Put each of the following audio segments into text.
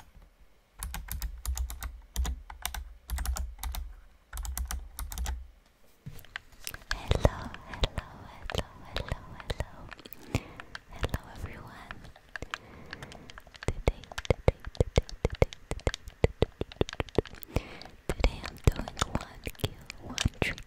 Hello, hello, hello, hello, hello. Hello everyone. Today, today, today, today, today, today I'm doing one kill, one trigger.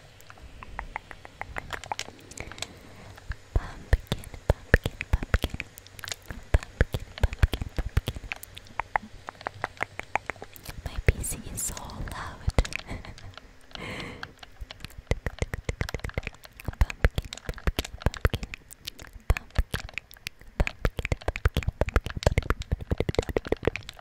Pumpkin, pumpkin, pumpkin. Pumpkin, pumpkin, pumpkin. My PC is so loud. pumpkin, pumpkin, pumpkin. Pumpkin, pumpkin, pumpkin.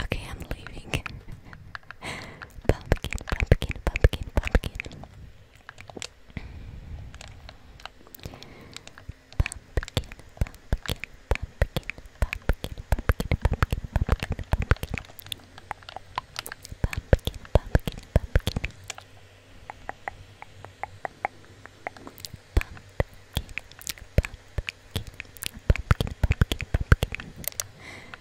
Okay, I'm leaving. pumpkin, pumpkin, pumpkin, pumpkin. Pumpkin, pumpkin, pumpkin, pumpkin, pumpkin, pumpkin, pumpkin, pumpkin. Pumpkin, pumpkin, pumpkin. Pumpkin, pumpkin, pumpkin, pumpkin, pumpkin.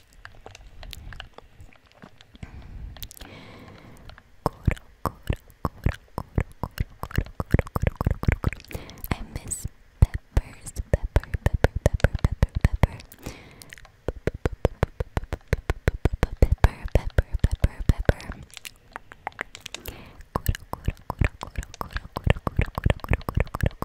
I miss peppers, pepper, pepper, pepper, pepper, pepper. Pepper, pepper, pepper, pepper.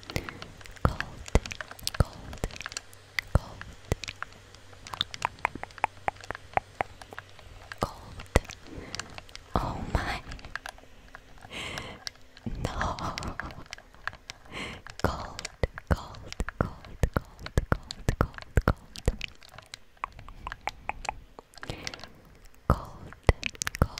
cold, cold, cold, cold. Oh my! No, cold, cold, cold, cold, cold, cold, cold. Cold, cold,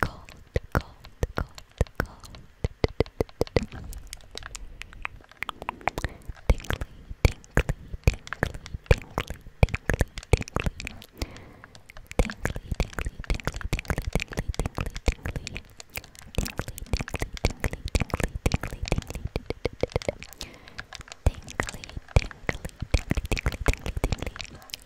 cold, cold, cold, cold. Tingly, tingly, tingly, tingly, tingly, tingly. Tingly, tingly, tingly, tingly, tingly, tingly, tingly. Tingly, tingly, tingly, tingly, tingly, tingly. Tingly, tingly, tingly, tingly, tingly, tingly.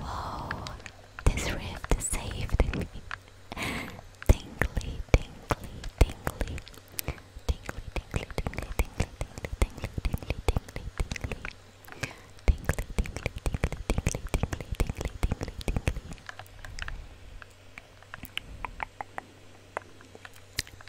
Whoa, this rift saved me. Tingly, tingly, tingly. Tingly, tingly, tingly, tingly, tingly, tingly, tingly, tingly, tingly. Tingly, tingly, tingly, tingly, tingly, tingly, tingly, tingly.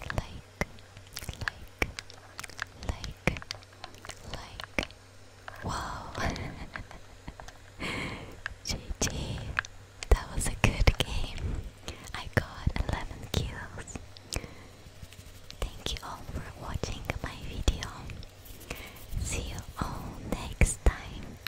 like, like, like, like. Whoa! GG, that was a good game. I got 11 kills. Thank you all for watching my video. See you all next time.